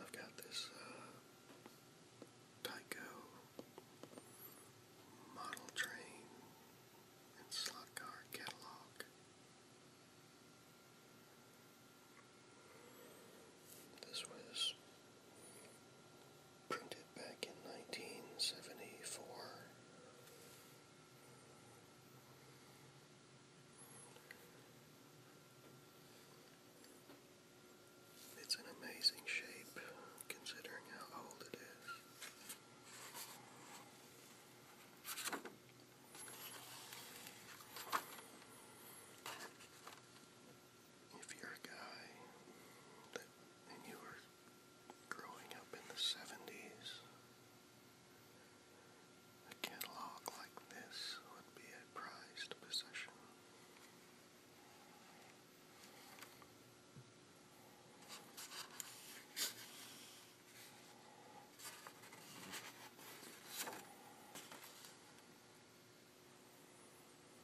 I've got this uh, Tyco model train and slot car catalog. This was printed back in 1974. It's an amazing shape considering how old it is if you're a guy and you were growing up in the 70s, a catalog like this would be a prized possession.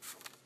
Popsicle.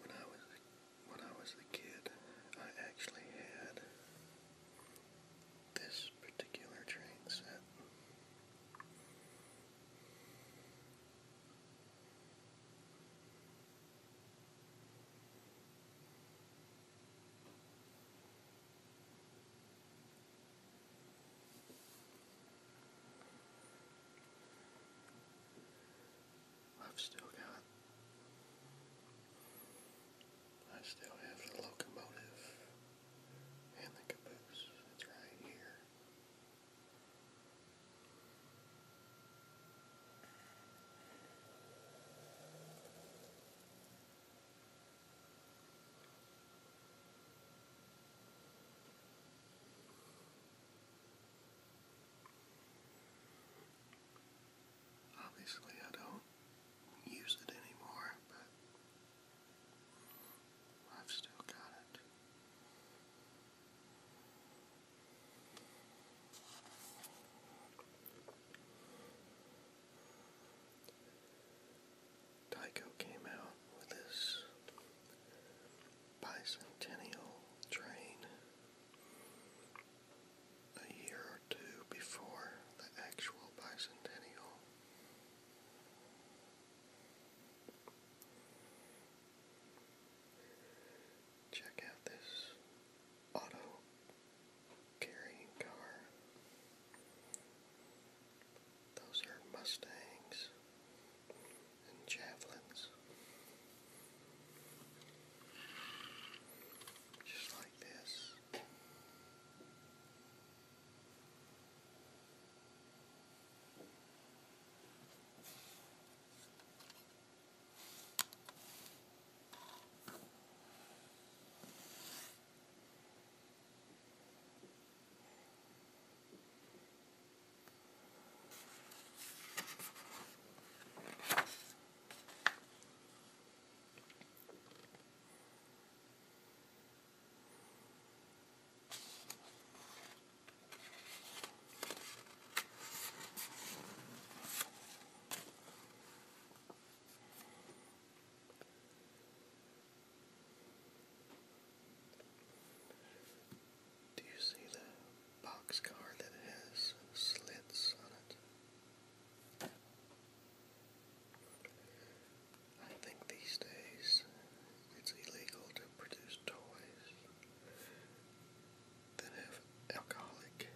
When I was when I was a kid, I actually had this particular train set. I've still got I still have the locomotive and the caboose. It's right here. Obviously, I don't use it anymore, but I've still got it. Tycho came out with this bicentennial train a year or two before the actual bicentennial. Check out this auto carrying car. Those are Mustangs and Javelins just like this. Do you see the boxcar that has slits on it? I think these days it's illegal to produce toys that have alcoholic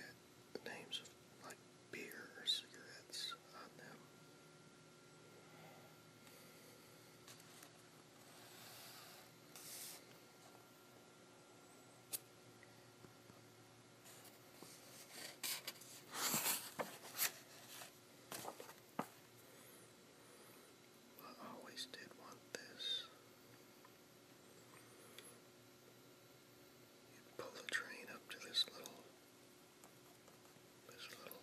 uh, names like beer or cigarettes on them. I always did want this. You pull the train up to this little this little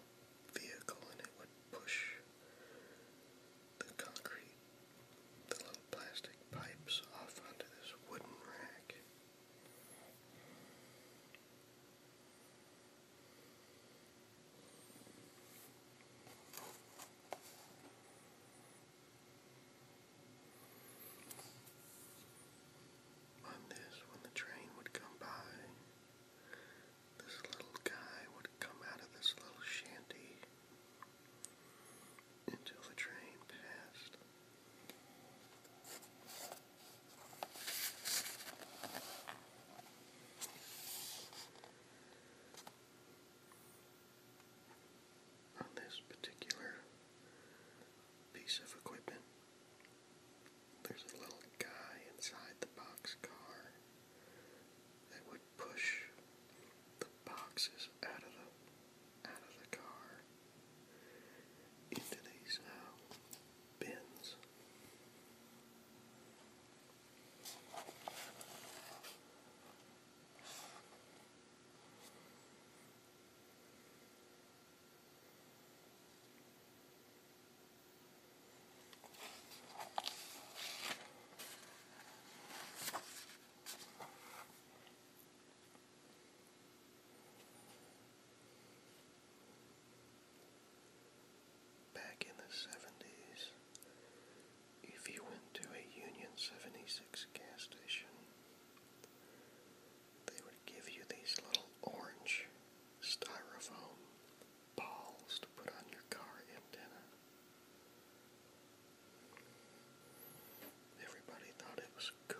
vehicle and it would push the concrete, the little plastic pipes off onto this wooden rack. On this, when the train would come by, this little guy would come out of this little shanty until the train passed. On this particular piece of equipment, there's a little guy inside the box car that would push the boxes out of the out of the car into these uh, bins. Back in the 70s, if you went to a Union 76 gas station, they would give you these little orange styrofoam balls to put on your car antenna. Everybody thought it was cool.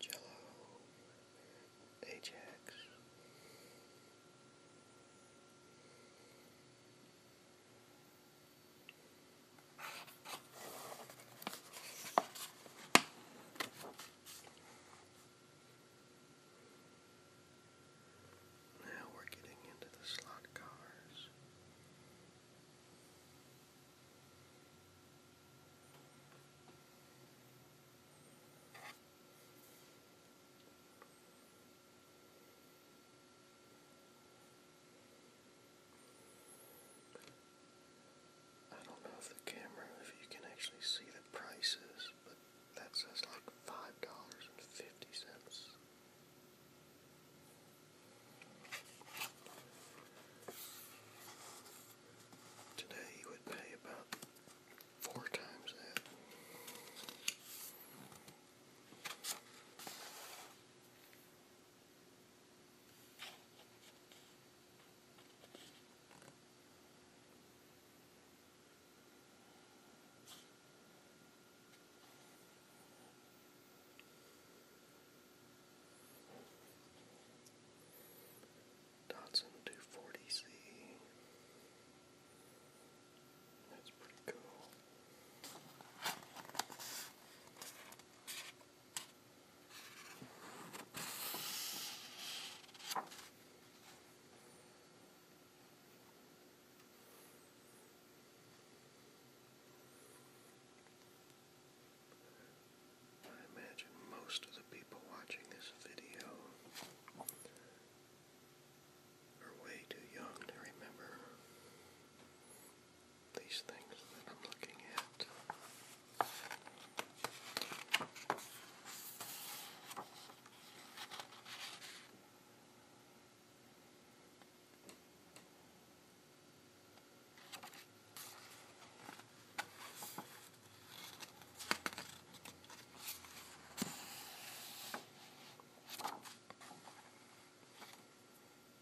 Jello, Ajax. Now we're getting into the slot cars. I don't know if the camera, if you can actually see the prices, but that says like five dollars and fifty cents. Today you would pay about four times that. Datsun 240C. That's pretty cool. I imagine most of the people watching this video are way too young to remember these things that I'm looking at.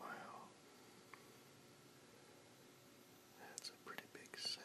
Wow. That's a pretty big setup.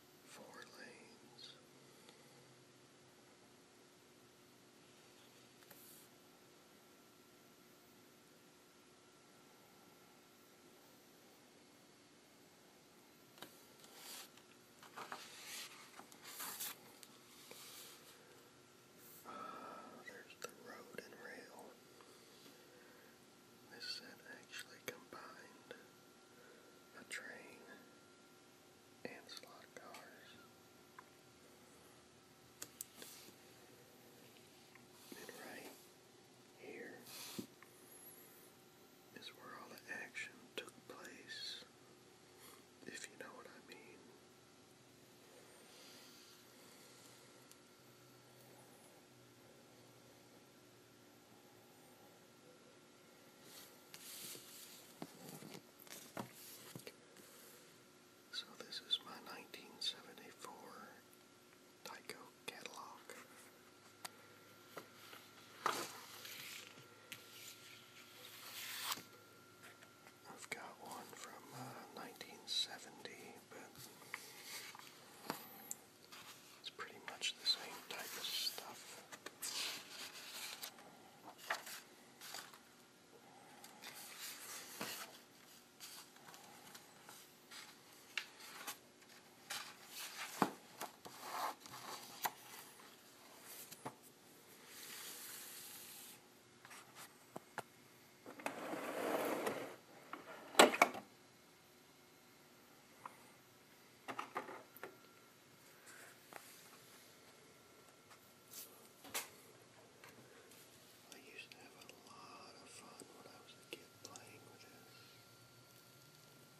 forward lanes. Ah, there's the road and rail. This set actually combined a train and slot cars. right here is where all the action took place, if you know what I mean. So this is my 1974 Tyco catalog. I've got one from 1970, uh, but it's pretty much the same type of stuff. I used to have a lot of fun when I was a kid playing with this. I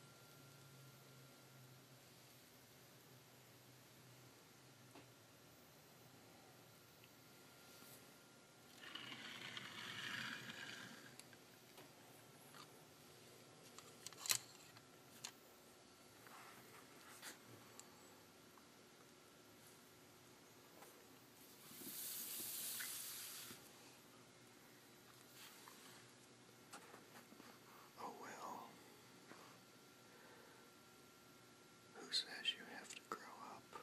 Oh, well, who says you have to grow up?